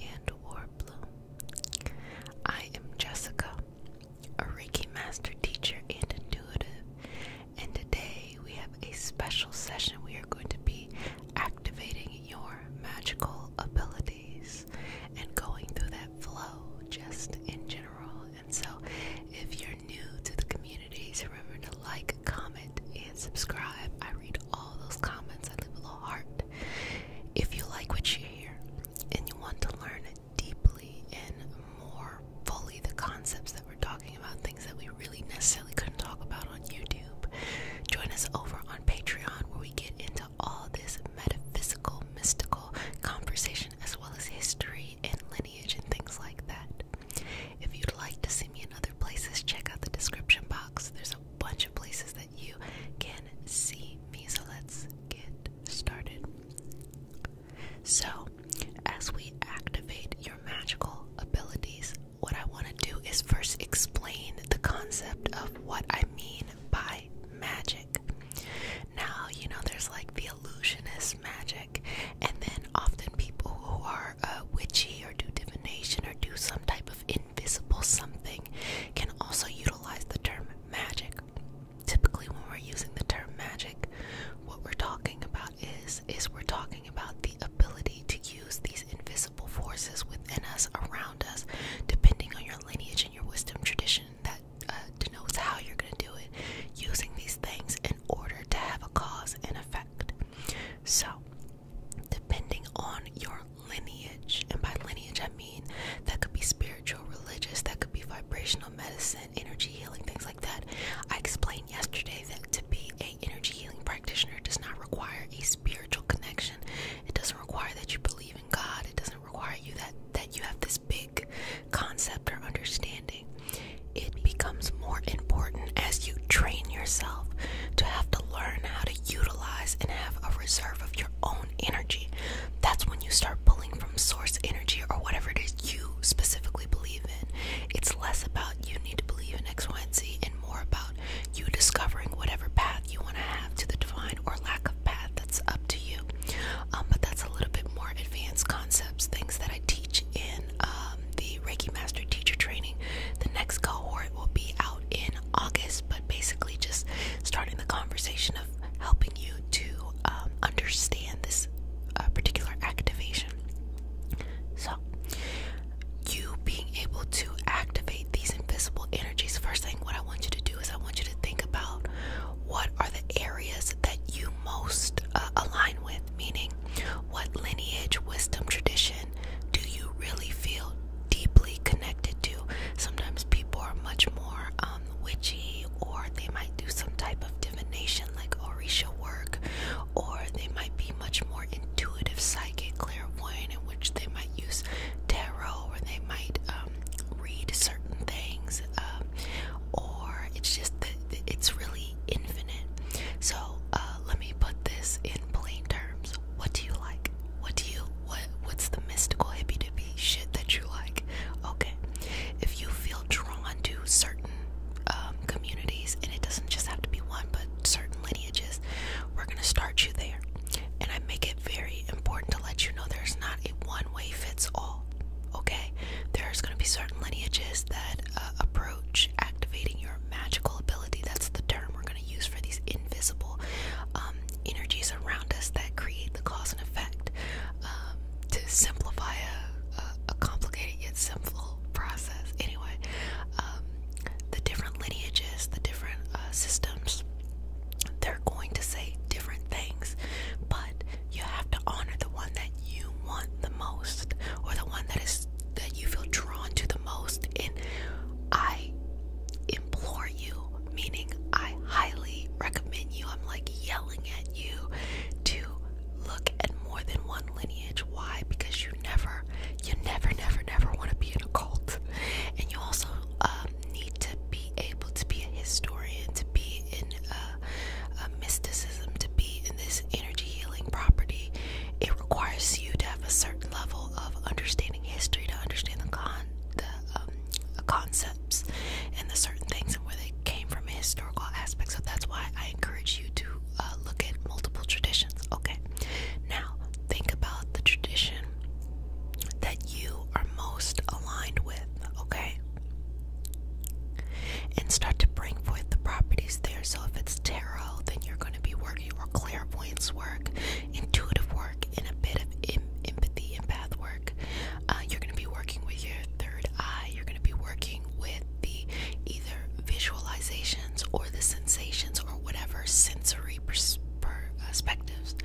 and War I am Jessica, a Reiki Master Teacher and Intuitive, and today we have a special session. We are going to be activating your magical abilities and going through that flow just in general. And so, if you're new to the community, remember to like, comment, and subscribe. I read all those comments, I leave a little heart, if you like what you hear and you want to learn deeply and more fully the concepts that we're talking about, things that we really necessarily couldn't talk about on YouTube, join us over on Patreon where we get into all this metaphysical, mystical conversation as well as history and lineage and things like that. If you'd like to see me in other places, check out the description box. There's a bunch of places that you can see me. So let's get started. So, as we activate your magical abilities, what I want to do is first explain the concept of what I mean by magic. Now, you know, there's like the illusionist magic, and then often people who are uh, witchy or do divination or do some type of invisible something can also utilize the term magic. Typically, when we're using the term magic, what we're talking about is is we're talking about the ability to use these invisible forces within us, around us, depending on your lineage and your wisdom tradition that uh, denotes how you're going to do it, using these things in order to have a cause and effect. So, depending on your lineage. And by lineage, I mean that could be spiritual, religious, that could be vibrational medicine, energy healing, things like that. I explained yesterday that to be a energy healing practitioner does not require a spiritual connection. It doesn't require that you believe in God. It doesn't require you that that you have this big concept or understanding. It becomes more important as you train yourself to have to learn how to utilize and have a reserve of your own energy. That's when you start pulling from source energy or whatever it is you specifically believe in. It's less about you need to believe in X, Y, and Z and more about you discovering whatever path you want to have to the divine or lack of path that's up to you. Um, but that's a little bit more advanced concepts, things that I teach in um, the Reiki Master Teacher Training. The next cohort will be out in August, but basically just starting the conversation of helping you to um, understand this uh, particular activation. So, you being able to activate these invisible energies, first thing, what I want you to do is I want you to think about what are the areas that you most uh, align with, meaning what lineage, wisdom, tradition do you really feel deeply connected to. Sometimes people are much more um, witchy, or they might do some type of divination like Orisha work, or they might be much more intuitive, psychic, clairvoyant, in which they might use tarot, or they might um, read certain things, um, or it's just that it's really infinite. So uh, let me put this in plain terms. What do you like? What do you what what's the mystical hippy dippy shit that you like? Okay. If you feel drawn to certain um, communities, and it doesn't just have to be one, but certain lineages, we're gonna start you there. And I make it very important to let you know there's not a one way fits all. Okay, there's gonna be certain lineages that uh, approach activating your magical ability. That's the term we're gonna to use for these invisible um, energies around us that create the cause and effect um, to simplify a, complicated yet simple process. Anyway, um, the different lineages, the different uh, systems, they're going to say different things, but you have to honor the one that you want the most, or the one that is that you feel drawn to the most. And I implore you, meaning I highly recommend you. I'm like yelling at you to look at more than one lineage. Why? Because you never, you never, never, never want to be in a cult, and you also um, need to be able to be a historian, to be in a, a mysticism, to be in this energy healing property. It requires you to have a certain level of understanding history, to understand the con the um, concepts and the certain things and where they came from historical aspects. So that's why I encourage you to uh, look at multiple traditions. Okay, now think about the tradition that you are most aligned with. Okay, and start to bring forth the properties there. So if it's tarot, then you're going to be working or clairvoyance work, intuitive work, work a bit of empathy and path work. Uh, you're going to be working with your third eye. You're going to be working with the either visualizations or the sensations or whatever sensory uh, perspectives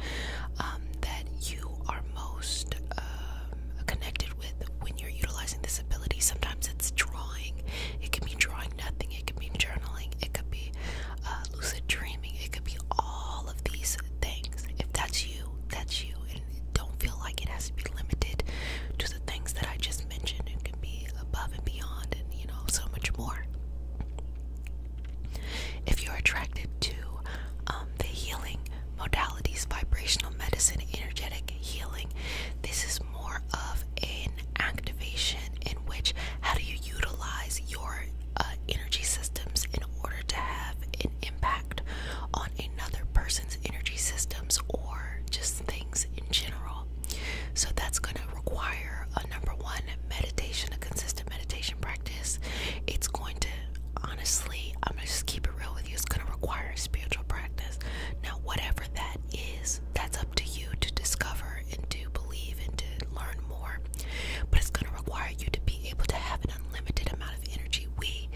um, that you are most um, connected with when you're utilizing this ability. Sometimes it's drawing. It can be drawing nothing. It can be journaling. It could be uh, lucid dreaming. It could be all of these things. If that's you, that's you. And don't feel like it has to be limited to the things that I just mentioned. It can be above and beyond and, you know, so much more. If you're attracted to um, the healing modalities, vibrational medicine, energetic healing, this is more of an activation in which how do you utilize your uh, energy systems in order to have an impact on another person's energy systems or just things in general. So that's going to require a number one meditation, a consistent meditation practice. It's going to honestly, I'm going to just keep it real with you, it's going to require a spiritual practice. Now, whatever that is, that's up to you to discover and to believe and to learn more. But it's going to require you to be able to have an unlimited amount of energy. We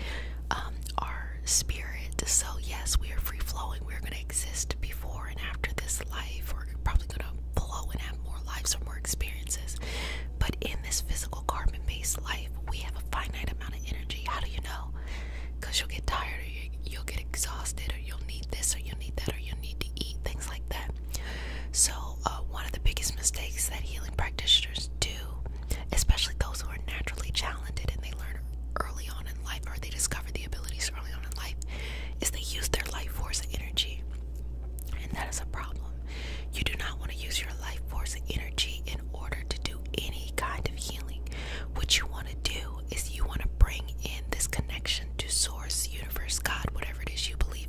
um, are spirit, so yes, we are free flowing. We're going to exist before and after this life. We're probably going to flow and have more lives or more experiences. But in this physical carbon based life, we have a finite amount of energy. How do you know? Because you'll get tired or you'll get exhausted or you'll need this or you'll need that or you'll need to eat, things like that. So, uh, one of the biggest mistakes that healing practitioners do, especially those who are naturally talented and they learn early on in life or they discover the abilities early on in life, is they use their life force energy. And that is a problem. You do not want to use your life force energy in order to do any kind of healing. What you want to do is you want to bring in this connection to source, universe, God, whatever it is you believe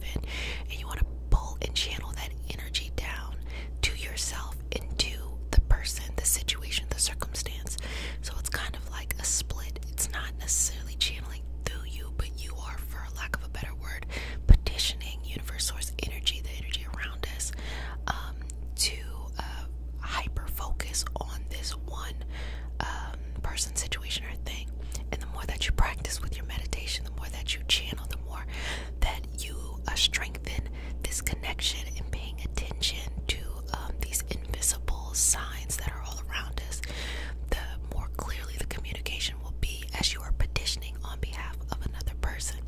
and you want to pull and channel that energy down to yourself into the person, the situation, the circumstance. So it's kind of like a split. It's not necessarily channeling through you, but you are, for lack of a better word, petitioning universe source energy, the energy around us, um, to uh, hyper focus on this one. Uh, person, situation, or thing. And the more that you practice with your meditation, the more that you channel, the more that you uh, strengthen this connection and paying attention to um, these invisible signs that are all around us, the more clearly the communication will be as you are petitioning on behalf of another person.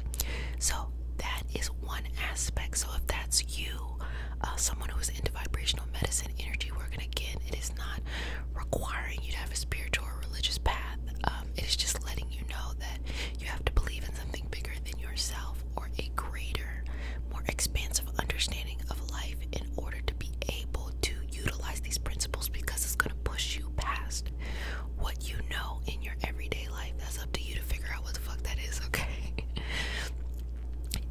So, that is one aspect. So, if that's you, uh, someone who is into vibrational medicine, energy work, and again, it is not requiring you to have a spiritual religious path, um, it is just letting you know that you have to believe in something bigger than yourself or a greater, more expansive understanding of life in order to be able to utilize these principles because it's going to push you past what you know in your everyday life. That's up to you to figure out what the fuck that is, okay?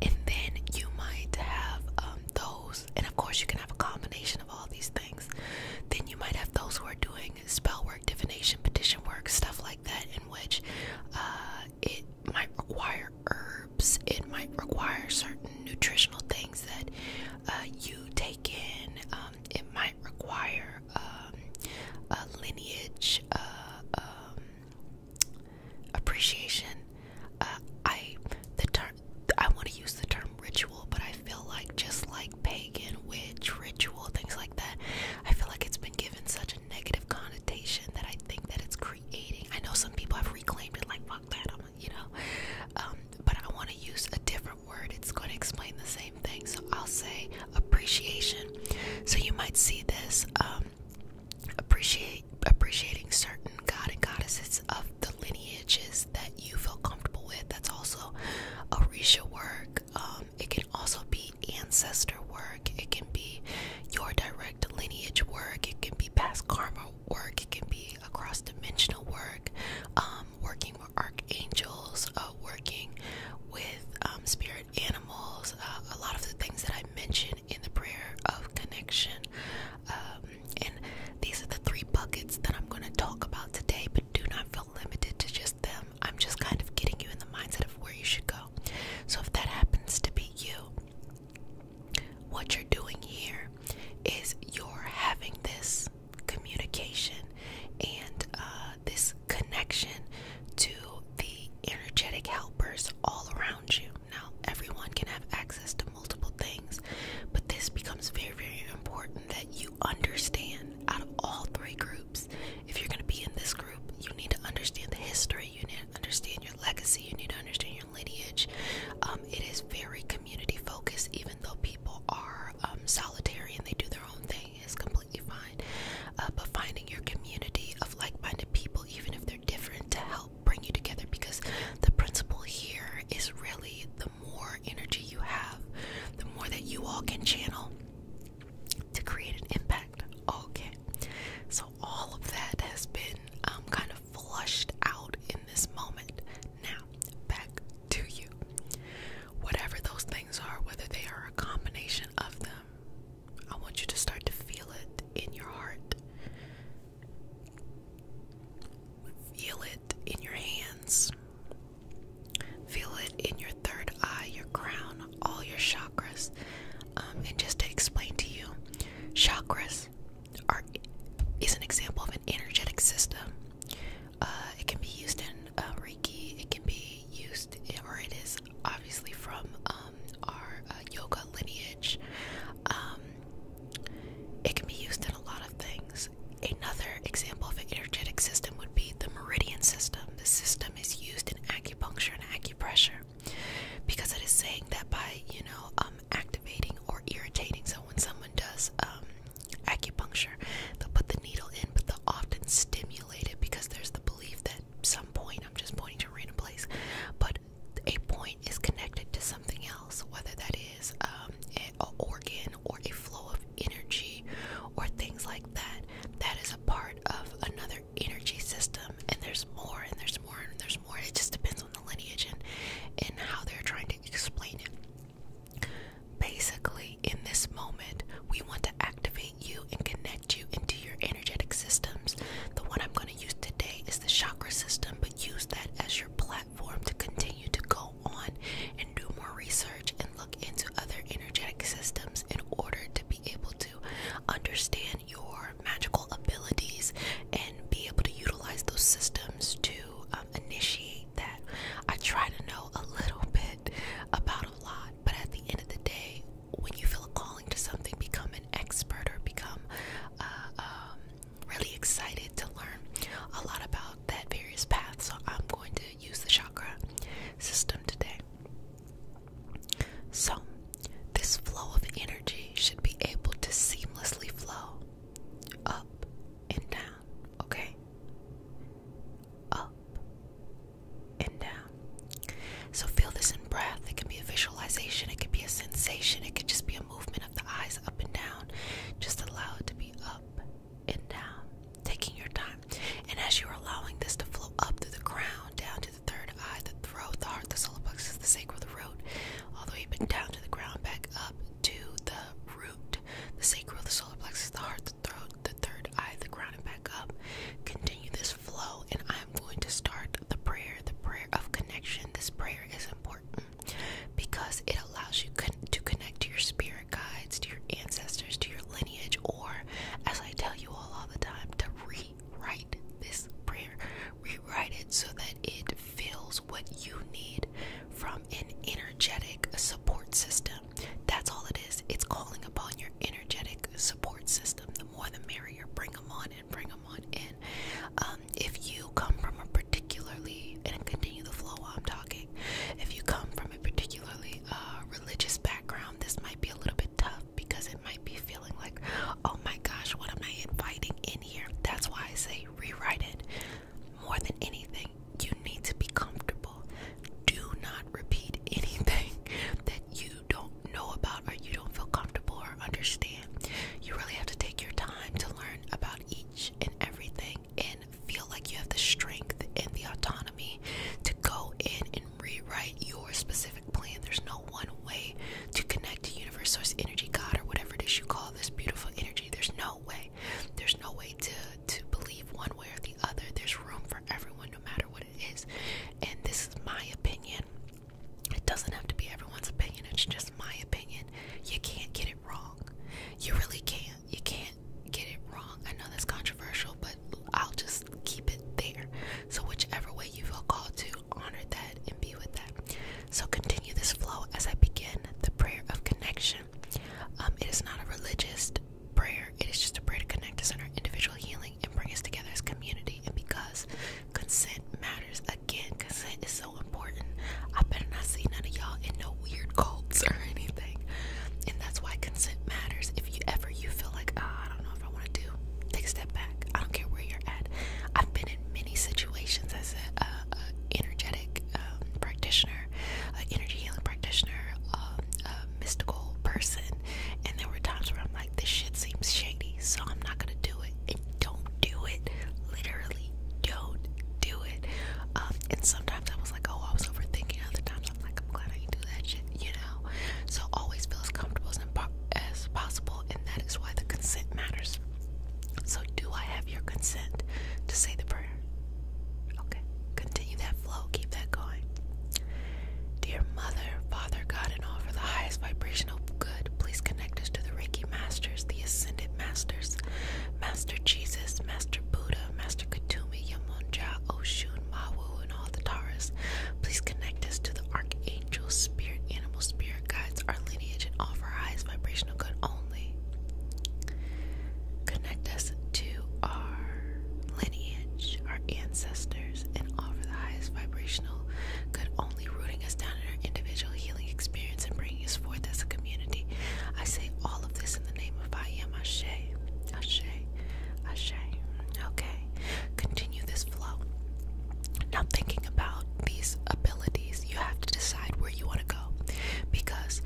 and then you might have um, those, and of course, you can have a combination of all these things. Then you might have those who are doing spell work, divination, petition work, stuff like that, in which uh, it might require herbs, it might require certain nutritional things that uh, you take in, um, it might require um, a lineage. Uh, um, appreciation uh, i the ter I want to use the term ritual, but I feel like just like pagan, witch, ritual, things like that, I feel like it's been given such a negative connotation that I think that it's creating. I know some people have reclaimed it, like fuck that, I'm, you know. Um, but I want to use a different word. It's going to explain the same thing, so I'll say appreciation. So you might see this um, appreciate appreciating certain god and goddesses of the lineage that you feel comfortable with. That's also Orisha work. Um, it can also be ancestor work. It can be your direct lineage work. It can be past karma work. It can be across dimensional work. Um, working with archangels. Uh, working with um, spirit animals. Uh, a lot of the things that I mentioned in the prayer of connection. Uh, and these are the three buckets that I'm going to talk about today, but do not feel limited to just them. I'm just kind of getting you in the mindset of where you should go. So if that happens to be you, what you're doing here is you're having this communication and uh, this connection to the energetic helpers all around you. Now, everyone can have access to multiple things, but this becomes very, very important that you understand out of all three groups. If you're going to be in this group, you need to understand the history, you need to understand your legacy, you need to understand your lineage. Um, it is very community focused, even though people are um, solitary and they do their own thing, is completely fine. Uh, but finding your community of like minded people, even if they're different, to help bring you together because the principle here is really the more energy you have, the more that you all can channel to create an impact. Okay, so all of that has been um, kind of flushed out in this moment. Now, back to you. Whatever those things are, whether they are a combination of them, I want you to start to feel it in your heart. Feel it in your hands. Feel it in your third eye, your crown, all your chakras. Um, and just to explain to you, chakras are is an example of an energetic system. Uh, it can be used in uh, Reiki. It can be used, or it is obviously from um, our uh, yoga lineage. Um, it can be used in a lot of things. Another example of an energetic system would be the meridian system. The system is used in acupuncture and acupressure because it is saying that by, you know, um, activating or irritating. So when someone does um, acupuncture, they'll put the needle in, but they'll often stimulate it because there's the belief that some point, I'm just pointing to a random place, but a point is connected to something else, whether that is is um, organ or a flow of energy or things like that. That is a part of another energy system, and there's more, and there's more, and there's more. It just depends on the lineage and, and how they're trying to explain it. Basically, in this moment, we want to activate you and connect you into your energetic systems. The one I'm going to use today is the chakra system, but use that as your platform platform to continue to go on and do more research and look into other energetic systems in order to be able to understand your magical abilities and be able to utilize those systems to um, initiate that. I try to know a little bit about a lot, but at the end of the day, when you feel a calling to something, become an expert or become uh, um, really excited to learn a lot about that various path. So I'm going to use the chakra system today. So this flow of energy should be able to seamlessly flow up and down, okay? Up and down. So feel this in breath. It can be a visualization, it can be a sensation, it could just be a movement of the eyes up and down. Just allow it to be up and down, taking your time. And as you are allowing this to flow up through the crown, down to the third eye, the throat, the heart, the solar plexus, the sacral, the root, all the way down to the ground, back up to the root, the sacral, the solar plexus, the heart, the throat, the third eye, the crown, and back up. Continue this flow, and I'm going to start the prayer, the prayer of connection. This prayer is important because it allows you to connect to your spirit guides, to your ancestors, to your lineage, or as I tell you all all the time, to rewrite this prayer, rewrite it so that it fills what you need from an energetic support system. That's all it is. It's calling upon your energetic support system. The more the merrier. Bring them on and bring them on in. Um, if you come from a particular particularly and continue the flow while I'm talking. If you come from a particularly uh, religious background, this might be a little bit tough because it might be feeling like, oh my gosh, what am I inviting in here? That's why I say rewrite it. More than anything, you need to be comfortable. Do not repeat anything that you don't know about or you don't feel comfortable or understand. You really have to take your time to learn about each and everything in feel like you have the strength and the autonomy to go in and rewrite your specific plan. There's no one way to connect to universe, source, energy, God, or whatever it is you call this beautiful energy. There's no way. There's no way to to believe one way or the other. There's room for everyone, no matter what it is. And this is my opinion. It doesn't have to be everyone's opinion. It's just my opinion. You can't get it wrong. You really can't you can't get it wrong. I know that's controversial, but I'll just keep it there. So whichever way you feel called to, honor that and be with that. So continue this flow as I begin the prayer of connection. Um, it is not a religious prayer. It is just a prayer to connect us in our individual healing and bring us together as community. And because consent matters, again, consent is so important. I better not see none of y'all in no weird cults or anything. And that's why consent matters. If you ever you feel like, ah, I don't know if I want to do, take a step back. I don't care where you're at. I've been in many situations as a, energetic um, practitioner, an energy healing practitioner, um, a mystical person, and there were times where I'm like, this shit seems shady, so I'm not gonna do it. And don't do it. Literally don't do it. Um, and sometimes I was like, oh, I was overthinking. Other times I'm like, I'm glad I didn't do that shit, you know? So always feel as comfortable as, possible, and that is why the consent matters. So, do I have your consent to say the prayer? Okay, continue that flow, keep that going. Dear Mother, Father, God, and all for the highest vibrational good, please connect us to the Reiki Masters, the Ascended. Masters, Master Jesus, Master Buddha, Master Katumi, Yamunja, Oshun, Mawu, and all the Taras. Please connect us to the Archangel, Spirit, Animal, Spirit Guides, our lineage, and offer our highest vibrational good only. Connect us to our lineage, our ancestors, and offer the highest vibrational good only, rooting us down in our individual healing experience and bring bring us forth as a community. I say all of this in the name of I am Ashe. Ashe. Ashe. Okay. Continue this flow. Now, thinking about these abilities, you have to decide where you want to go because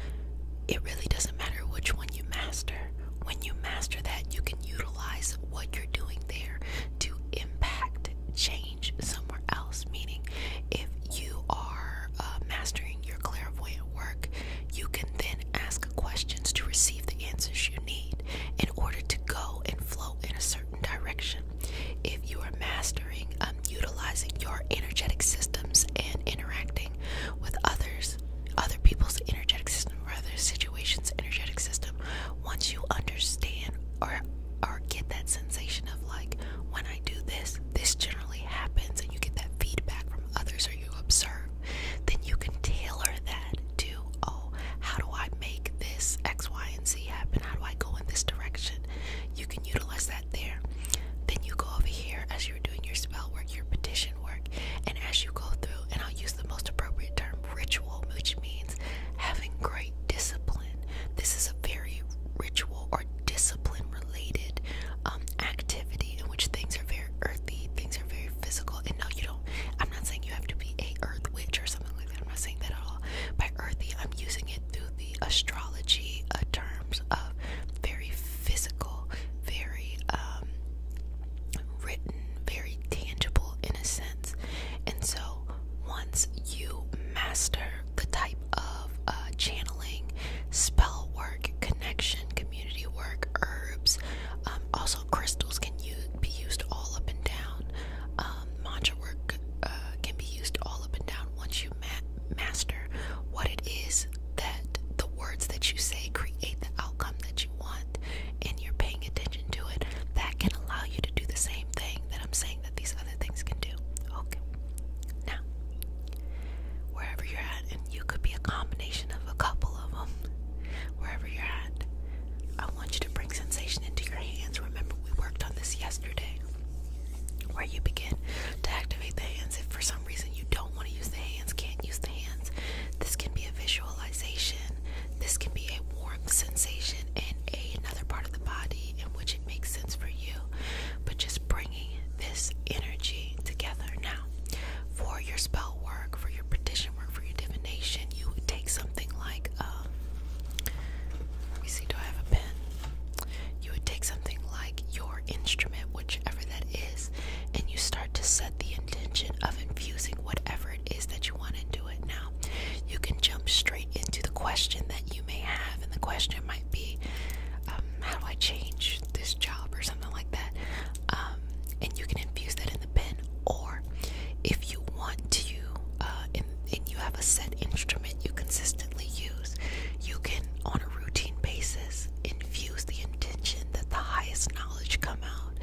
it really doesn't matter which one you master. When you master that, you can utilize what you're doing there to impact change somewhere else. Meaning, if you are uh, mastering clairvoyant work, you can then ask questions to receive the answers you need in order to go and flow in a certain direction. If you are mastering um, utilizing your energetic systems and interacting with others, other people's energetic system or other situations' energetic system, once you understand or or get that sensation of like when I do this, this generally happens, and you get that feedback from others or you observe, then you can tailor that to, oh, how do I make this X, Y, and Z happen? How do I go in this direction? You can utilize that there. Then you go over here as you're doing your spell work, your petition work, and as you go through, and I'll use the most appropriate term ritual, which means having great discipline. This is a very ritual or discipline related um, activity in which things are very earthy, things are very physical. And no, you don't, I'm not saying you have to be a earth witch or something like that. I'm not saying that at all. By earthy, I'm using it through the astrology uh, terms of very physical, very um, written, very tangible in a sense. And so once you master the type of uh, channeling, spell work, connection, community work, herbs. Um, also, crystals can be used all up and down. Um, mantra work uh, can be used all up and down once you master what it is that the words that you say create the outcome that you want, and you're paying attention to it. That can allow you to do the same thing that I'm saying that these other things can do. Okay. Now, wherever you're at, and you could be a combination of a couple of them, wherever you're at, I want you to bring sensation into your hands. Remember, we worked on this yesterday, where you begin to activate the hands. If for some reason you don't want to use the hands, can't use the hands, this can be a visualization, this can be a warm sensation in a, another part of the body in which it makes sense for you. But just bring this energy together now for your spell work for your petition work for your divination you would take something like um, let me see do i have a pen you would take something like your instrument whichever that is and you start to set the intention of infusing whatever it is that you want into it now you can jump straight into the question that you may have and the question might be um, how do I change this job or something like that. Um, and you can infuse that in the pen, or if you want to, uh, and, you have a set instrument you consistently use, you can on a routine basis infuse the intention that the highest knowledge come out,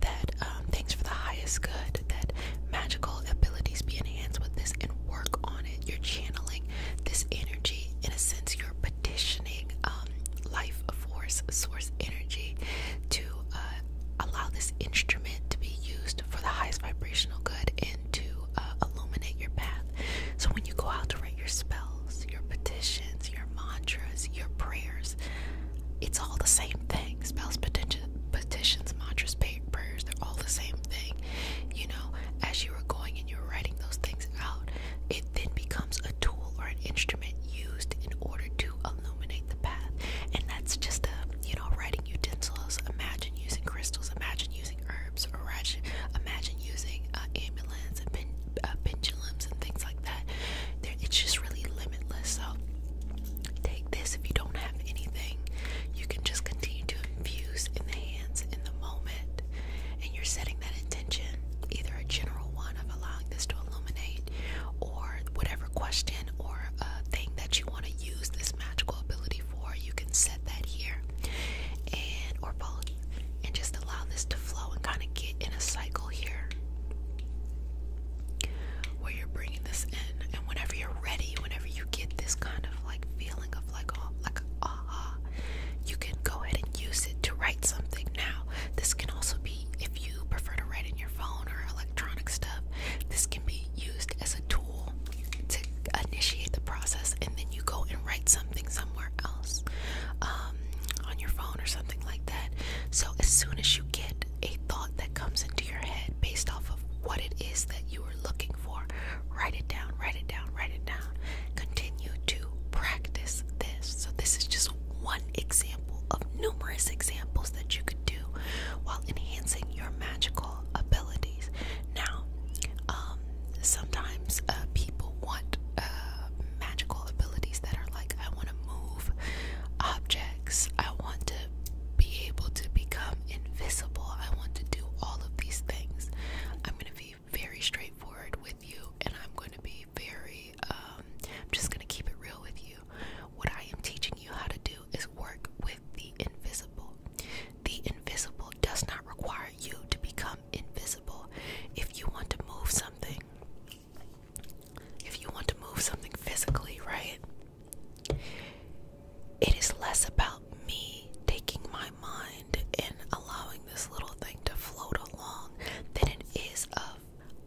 that um, things for the highest good, that magical abilities be enhanced with this, and work on it. You're channeling this energy. In a sense, petitioning um, life force, source energy to uh, allow this instrument to be used for the highest vibrational good and to uh, illuminate your path. So when you go out to write your spells, your petitions, your mantras, your prayers, it's all the same thing. Spells, petitions, mantras, prayers, they're all the same thing. You know, as you were going you're writing those things out, it then becomes a tool or an instrument used in order to illuminate the path. And that's just a, you know, writing utensils. Imagine using crystals, imagine using herbs, or imagine using uh, amulets and uh, pendulums and things like that. it's just really limitless. So take this if you don't have anything. You can just continue to infuse in the hands in the moment and you're setting that intention, either a general one of allowing this to illuminate, or whatever question or uh, thing that you want to use this magical ability for, you can set that here, and or both, and just allow this to flow and kind of get in a cycle here, where you're bringing this in, and whenever you're ready, whenever you get this kind of like feeling of like like aha, you can go ahead and use it to write something now. This can also be, if you prefer to write in your phone or electronic stuff, this can be used as a tool to initiate the process and then you go and write something somewhere else um, on your phone or something like that. So, as soon as you get a thought that comes into your head based off of what it is that you are looking for, write it down, write it down write it down. Continue to practice this. So, this is just one example of numerous examples that you could do while enhancing your magical abilities. Now, um, sometimes uh, people want uh, magical abilities that are like, I want to move objects, I want to be able to become invisible, I want to do all of these things. I'm going to be very straightforward with you, and I'm going to be very, um, I'm just going to keep it real with you. What I am teaching you how to do is work with the invisible. The invisible does not require you to become invisible. If you want to move something, if you want to move something physically, right? It is less about me taking my mind mind in allowing this little thing to float along than it is of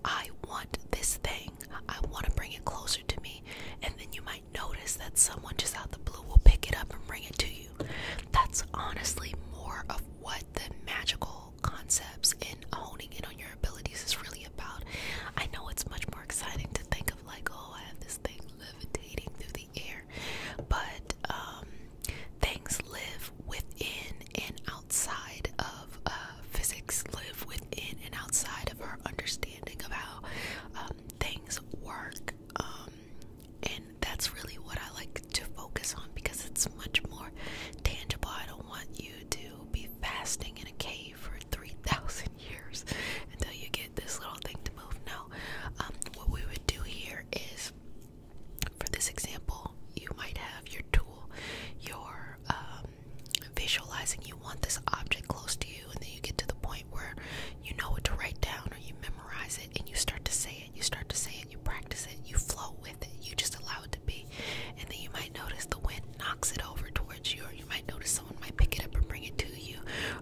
I want this thing. I want to bring it closer to me. And then you might notice that someone just out the blue will pick it up and bring it to you. That's honestly more of what the magical concepts and honing in on your abilities is really about. I know it's much more exciting to think of, like, oh, I have this thing levitating through the air, but um, things live within and outside of uh, physics, live within and outside of our understanding of how um, things work. Um, and that's really what I like to focus on because it's much more tangible. I don't want you to be fasting in a cave for 3,000 years until you get this little thing to move. No, um, what we would do here is for this example, you might have your tool, your um, visualizing you want this object close to you, and then you get to the point where you know what to write down or you memorize it and you start to say it, you start to say it, you practice it, you flow with it, you just allow it to be. And then you might notice the wind knocks it over towards you, or you might notice someone might pick it up and bring it to you,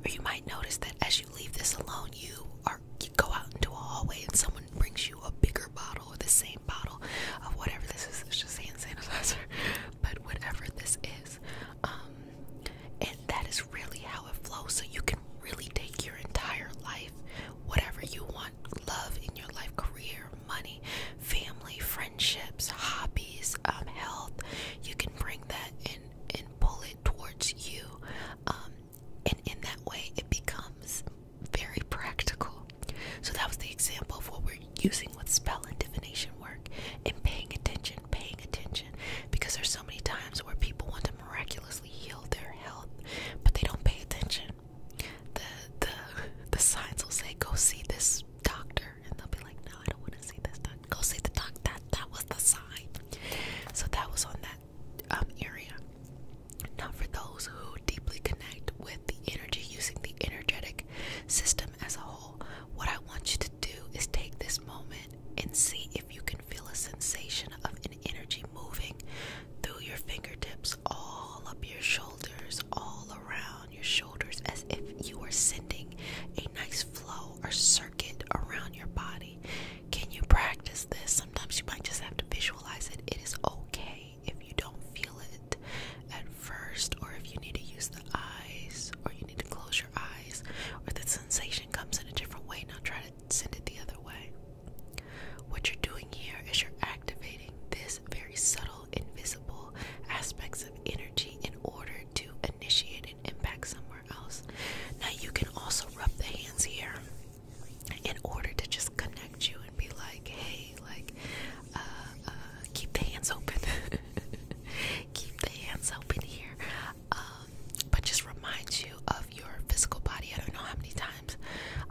or you might notice that as you leave this alone, you are or you go out into a hallway and someone brings you a bigger bottle or the same bottle of whatever this is. It's just hand sanitizer, but whatever this is, um, and that is really how it flows. So you can really take your entire life, whatever you want, love in your life, career, money, family, friendships, hobbies, um, health. You can bring that and and pull it towards you. Um, and in that way, it becomes very practical. So that was the example of what we're using with spell and divination work and paying attention, paying attention. Because there's so many times where people want to miraculously heal their health, but they don't pay attention. The the the signs will say, Go see this doctor and they'll be like, No, I don't want to see this doctor. Go see the doctor that that was the sign. So that was on that um, area. Not for those who deeply connect with the energy using the energetic system as a whole. What I want you to do is take this moment and see if you can feel a sensation of an energy moving through your fingertips, all up your shoulders, all around your shoulders, as if you are sending a nice flow or circuit around your body. Can you practice this? Sometimes you might just have to visualize it. It is okay if you don't feel it at first, or if you need to use the eyes, or you need to close your eyes, or the sensation comes in a different way. Now try to send it the other way. What you're doing here is you're activating this very subtle, invisible aspects of energy in order to initiate an impact somewhere else. Now you can also rub the hands here in order to just connect you and be like, hey, like, uh, uh, keep the hands open. keep the hands open here. Um, but just remind you of your physical body. I don't know how many times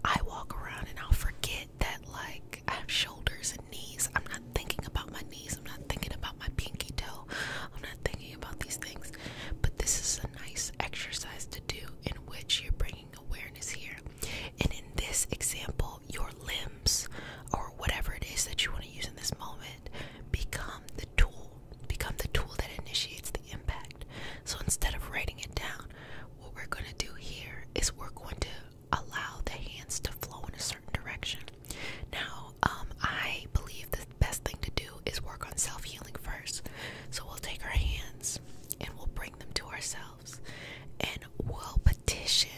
I walk around and I'll forget that, like, I have shoulders and knees. I'm not thinking about my knees. I'm not thinking about my pinky toe. I'm not thinking about these things. But this is a nice exercise to do in which you're bringing awareness here. And in this example, your limbs or whatever it is that you want to use in this moment become the tool, become the tool that initiates the impact. So instead of writing it down, what we're going to do here is we're going to allow the hands to flow in a certain direction. Now, um, I believe the best thing to do is work on self healing first. So we'll take our hands and we'll bring them to ourselves and we'll petition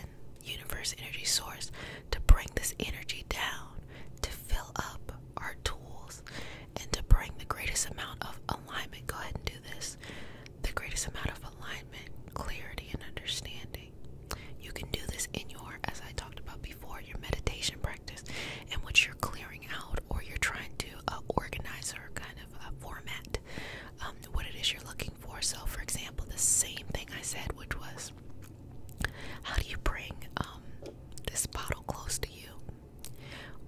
universe energy source to bring this energy down to fill up our tools and to bring the greatest amount of alignment go ahead and do this the greatest amount of alignment clarity and understanding you can do this in your as i talked about before your meditation practice and what you're clearing out or you're trying to uh, organize or kind uh, format um, what it is you're looking for. So, for example, the same thing I said, which was, how do you bring um, this bottle close to you?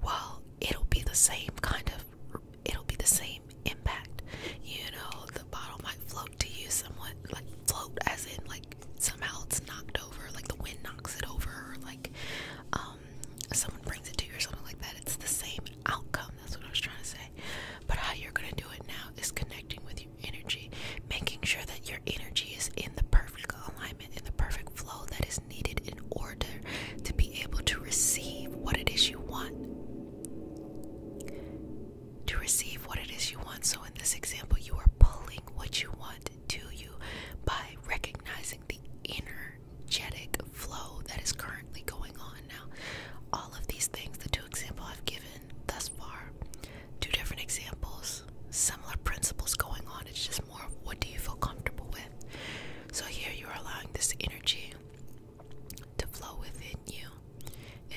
Well, it'll be the same kind of, it'll be the same impact. You know, the bottle might float to you somewhat, like float as in like somehow it's knocked over, like the wind knocks it over, or like um, um, someone brings it to you or something like that, it's the same outcome. That's what I was trying to say. But how you're going to do it now is connecting with your energy, making sure that your energy is in the perfect alignment, in the perfect flow that is needed in order to be able to receive what it is you want. To receive what it is you want. So, in this example, you are pulling what you want to you by recognizing the inner Jetic flow that is currently going on now. All of these things, the two examples I've given thus far, two different examples, similar principles going on. It's just more what do you feel comfortable with. So here you are allowing this energy to flow within you,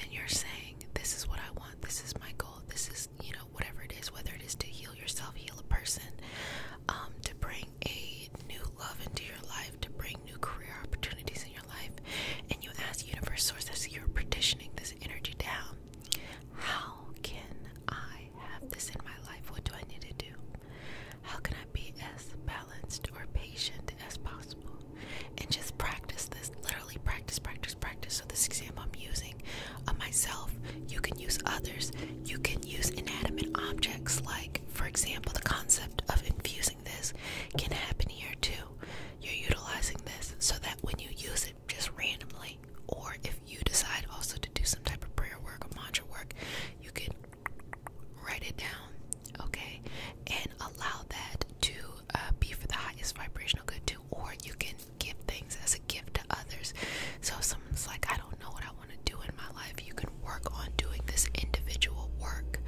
and you're saying, This is what I want, this is my goal, this is, you know, whatever it is, whether it is to heal yourself, heal a person, um, to bring a new love into your life, to bring new career opportunities in your life, and you ask universe sources. you're partitioning this energy down, how can I have this in my life? What do I need to do? How can I be as balanced or patient as possible? And just practice this. Literally practice, practice, practice. So this example I'm using on myself, you can use others. You can use inanimate objects like for example, the concept of infusing this can happen here too. You're utilizing this so that when you use it just randomly, or if you decide also to do some type of prayer work or mantra work, you can write it down, okay, and allow that to uh, be for the highest vibrational good too. Or you can give things as a gift to others. So someone's like, I don't know what I want to do in my life, you can work on doing this individual work,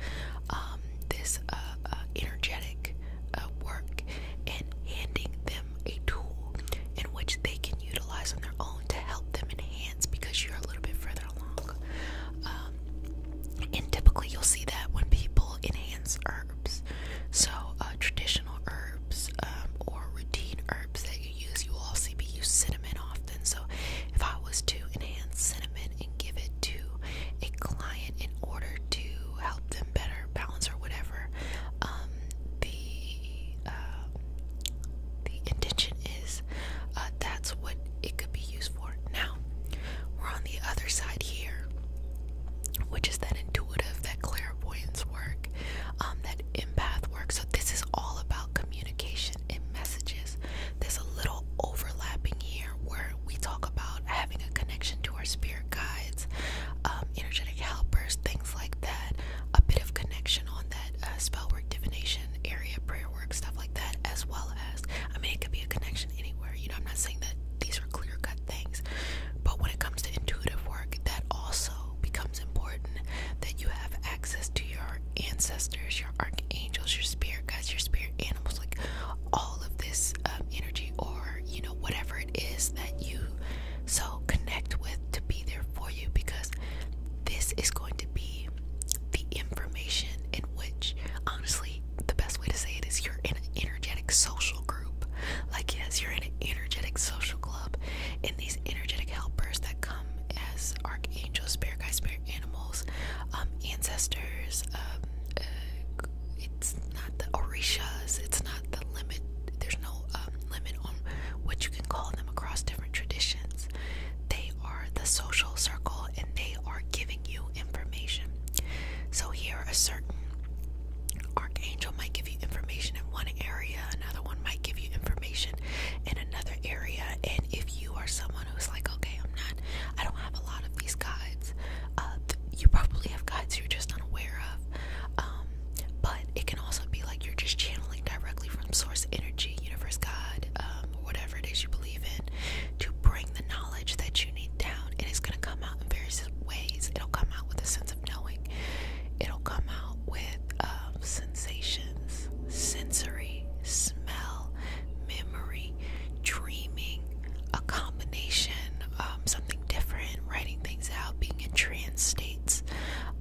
um, this uh, uh, energetic uh, work, and handing them a tool in which they can utilize on their own to help them enhance because you're a little bit further along. Um, and typically, you'll see that when people enhance herbs, so traditional herbs um, or routine herbs that use, you also be use cinnamon often. So if I was to enhance cinnamon and give it to a client in order to help them better balance or whatever, um, the uh, the intention is uh, that's what it could be used for. Now we're on the other side here, which is that intuitive, that clairvoyance work, um, that empath work. So this is all about communication content messages. There's a little overlapping here where we talk about having a connection to our spirit guides, um, energetic helpers, things like that. A bit of connection on that uh, spell work, divination area, prayer work, stuff like that, as well as I mean, it could be a connection anywhere. You know, I'm not saying that these are clear cut things, but when it comes to intuitive work, that also becomes important that you have access to your ancestors your archangels, your spirit guides, your spirit animals, like all of this um, energy or you know whatever it is that you so connect with to be there for you because this is going to be the information in which honestly the best way to say it is you're in an energetic social group like yes you're in an energetic social club and these energetic helpers that come as archangels spirit guides spirit animals, um, ancestors. Um, uh, it's not the orishas. It's not the limit. There's no um, limit on what you can call them across different traditions. They are the social circle, and they are giving you information. So here, a certain archangel might give you information in one area. Another one might give you information in another area. And if you are someone who's like, okay, I'm not, I don't have a lot of these guides, uh, you probably have guides you're just unaware of. Um, but it can also be like you're just channeling directly from source energy, universe, God, um, whatever it is you believe in, to bring the knowledge that you need down. It is going to come out in various ways. It'll come out with a sense of knowing, it'll come out with uh, sensations sensory, smell, memory, dreaming, a combination, um, something different, writing things out, being in trance states.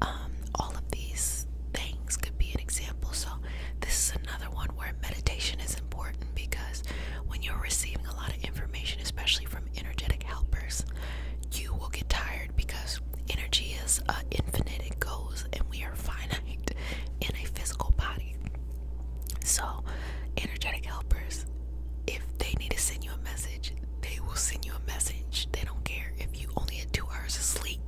Um, all of these things could be an example. So, this is another one where meditation is important because when you're receiving a lot of information, especially from energetic helpers, you will get tired because energy is infinite, it goes, and we are finite in a physical body. So, energetic helpers, if they need to send you a message, they will send you a message. They don't care if you only had two hours of sleep,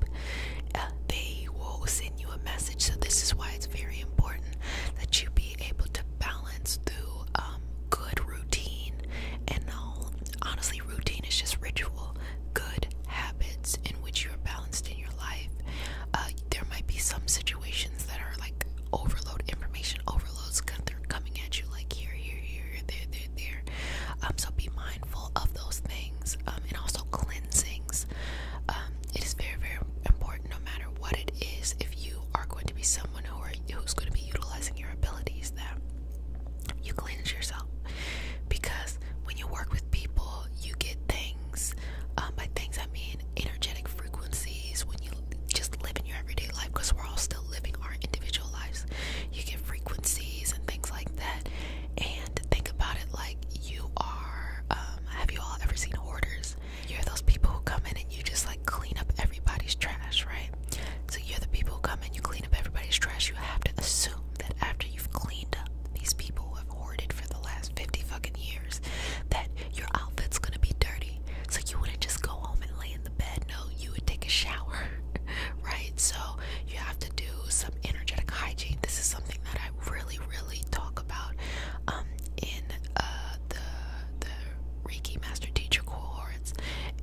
uh, they will send you a message. So, this is why it's very important that you be able to balance through um, good routine and all. Honestly, routine is just ritual good habits in which you're balanced in your life. Uh, there might be some situations that are like overload, information overloads they're coming at you like here, here, here, there, there, there. Um, so be mindful of those things um, and also cleansings. Um, it is very, very important no matter what it is if you are going to be someone who who's going to be utilizing your abilities that you cleanse yourself because when you work with people, you get things. Um, by things, I mean energetic frequencies. When you just live in your everyday life, because we're all still living our individual lives, you get frequencies and things like that. And think about it like you are. Um, have you all ever seen hoarders? You're those people who come in and you just like clean up everybody's trash, right? So you're the people who come in, and you clean up everybody's trash. You have to assume that after after you've cleaned up these people have hoarded for the last 50 fucking years that your outfit's gonna be dirty. So you wouldn't just go home and lay in the bed. No, you would take a shower, right? So you have to do some energetic hygiene. This is something that I really, really talk about um, in uh, the, the Reiki Master Teacher cohorts.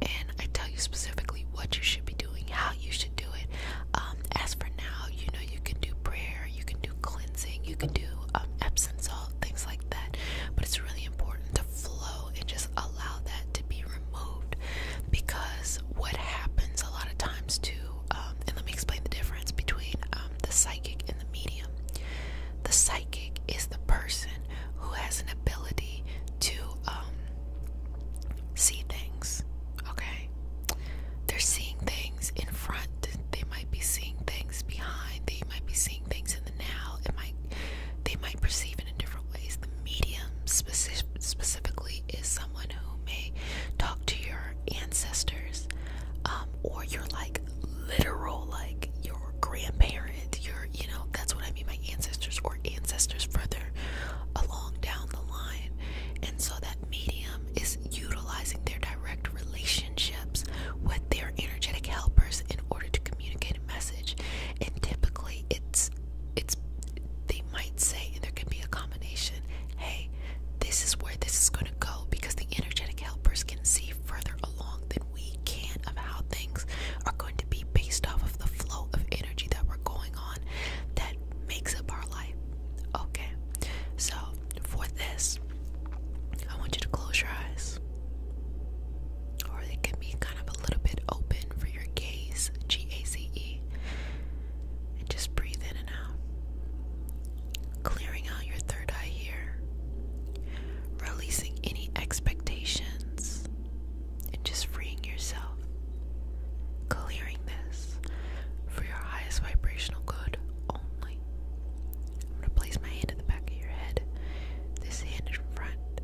And I tell you specifically what you should be doing, how you should do it. Um, as for now, you know, you can do prayer, you can do cleansing, you can do um, Epsom salt, things like that. But it's really important to flow and just allow that to be removed because what happens a lot of times too, um, and let me explain the difference between the psychic and the medium. The psychic is the person who has an ability to see things, okay? they're seeing things in front, they might be seeing things behind, they might be seeing things in the now, it might they might perceive it in different ways. The medium specifically is someone who may talk to your ancestors, um, or your like literal like your grandparent, your you know, that's what I mean by ancestors or ancestors further along down the line. And so that that medium is utilizing their direct relationships with their energetic helpers in order to communicate a message. And typically it's it's they might say and there can be a combination, hey, this is where this is gonna go because the energetic helpers can see further along than we can of how things are going to be based off of the flow of energy that we're going on. That makes up our life. Okay, so for this, I want you to close your eyes, or they can be kind of a little bit open for your gaze, G A Z E, and just breathe in and out, clearing out your third eye here, releasing any expectations, and just freeing yourself, clearing this for your highest vibrational good only. I'm going to place my hand at the back of your head, this hand in front.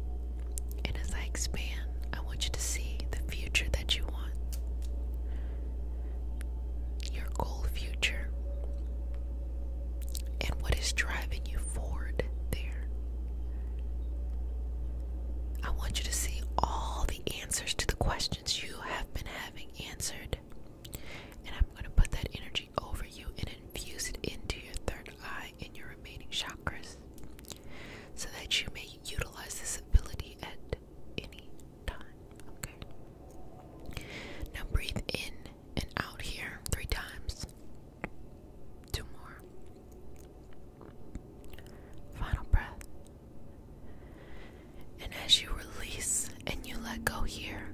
And as I expand, I want you to see the future that you want. Your goal future. And what is driving you forward there. I want you to see all the answers to the questions you have been having having answered. And I'm going to put that energy over you and infuse it into your third eye and your remaining chakras so that you may utilize this ability at any time. Okay. Now breathe in and out here three times. Two more. Final breath. And as you release and you let go here,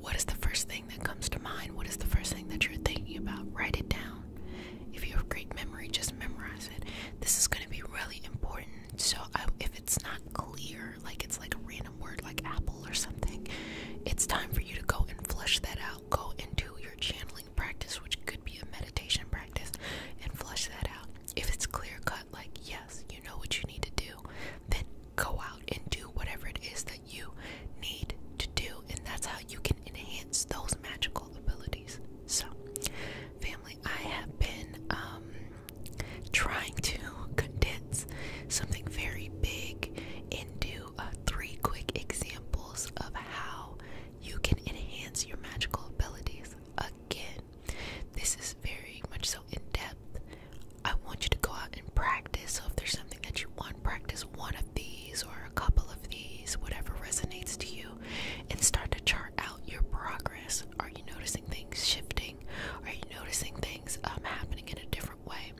what is the first thing that comes to mind? What is the first thing that you're thinking about? Write it down. If you have great memory, just memorize it. This is going to be really important. So if it's not clear, like it's like a random word like apple or something, it's time for you to go and flush that out. Go into your channeling practice, which could be a meditation practice, and flush that out if it's clear cut, like yes, you know what you need to do, then go out and do whatever it is that you need to do, and that's how you can enhance those magical abilities. So, family, I have been um, trying to condense something very big into uh, three quick examples of how you can enhance your magical abilities. Again, this is very much so in depth. I want you to go out and practice. So if there's something that you want, practice one of these or a couple of these, whatever resonates to you, and start to chart out your progress. Are you noticing things shifting? Are you noticing things um, happening in a different way?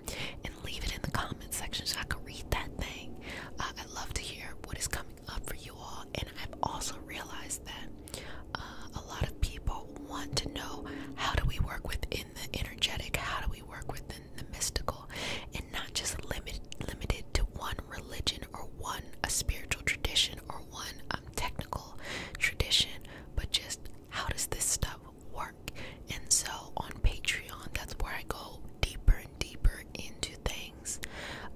And leave it in the comment section so I can read that thing. Uh, I'd love to hear what is coming up for you all. And I've also realized that uh, a lot of people want to know how do we work within the energetic, how do we work within the mystical, and not just limit, limited to one religion or one a spiritual tradition or one um, technical tradition, but just how does this stuff work? And so on Patreon, that's where I go deeper and deeper into things.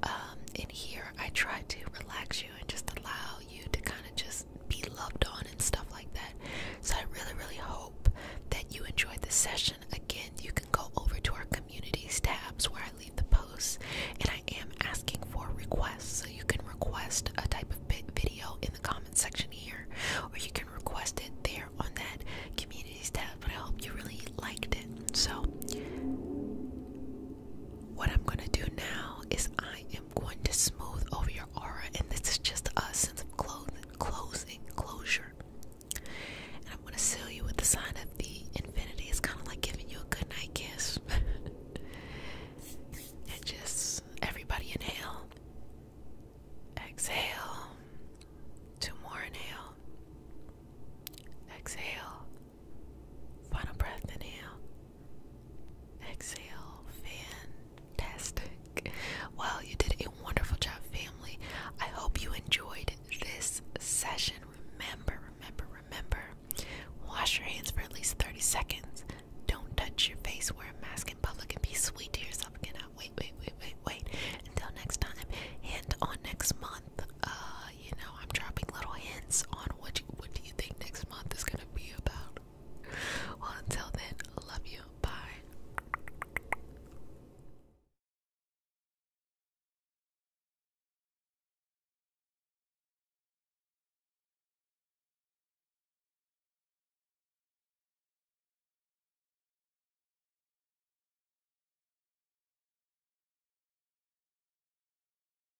Um, and here I try to relax you and just allow you to kind of just be loved on and stuff like that. So I really, really hope that you enjoyed this session. Again, you can go over to our communities tabs where I leave the posts, and I am asking for requests. So you can request a type of video in the comment section here, or you can request it there on that communities tab. But I hope you really liked it. So what I'm going to do now is I am going to smooth over your aura, and this is just a sense of clothing, closing, closure. And I'm going to seal you with the sign of the infinity. It's kind of like giving you a good night kiss. and just everybody inhale, exhale, two more inhale, exhale. Final breath, inhale. Exhale. Fantastic. Well, you did a wonderful job, family. I hope you enjoyed this session. Remember, remember, remember. Wash your hands for at least 30 seconds. Don't touch your face, wear a mask in public, and be sweet to yourself. Cannot wait, wait, wait, wait, wait. Until next time, and on next month, uh, you know, I'm dropping little hints on what you, what do you think next month is gonna be about. Well, until then, love you. Bye.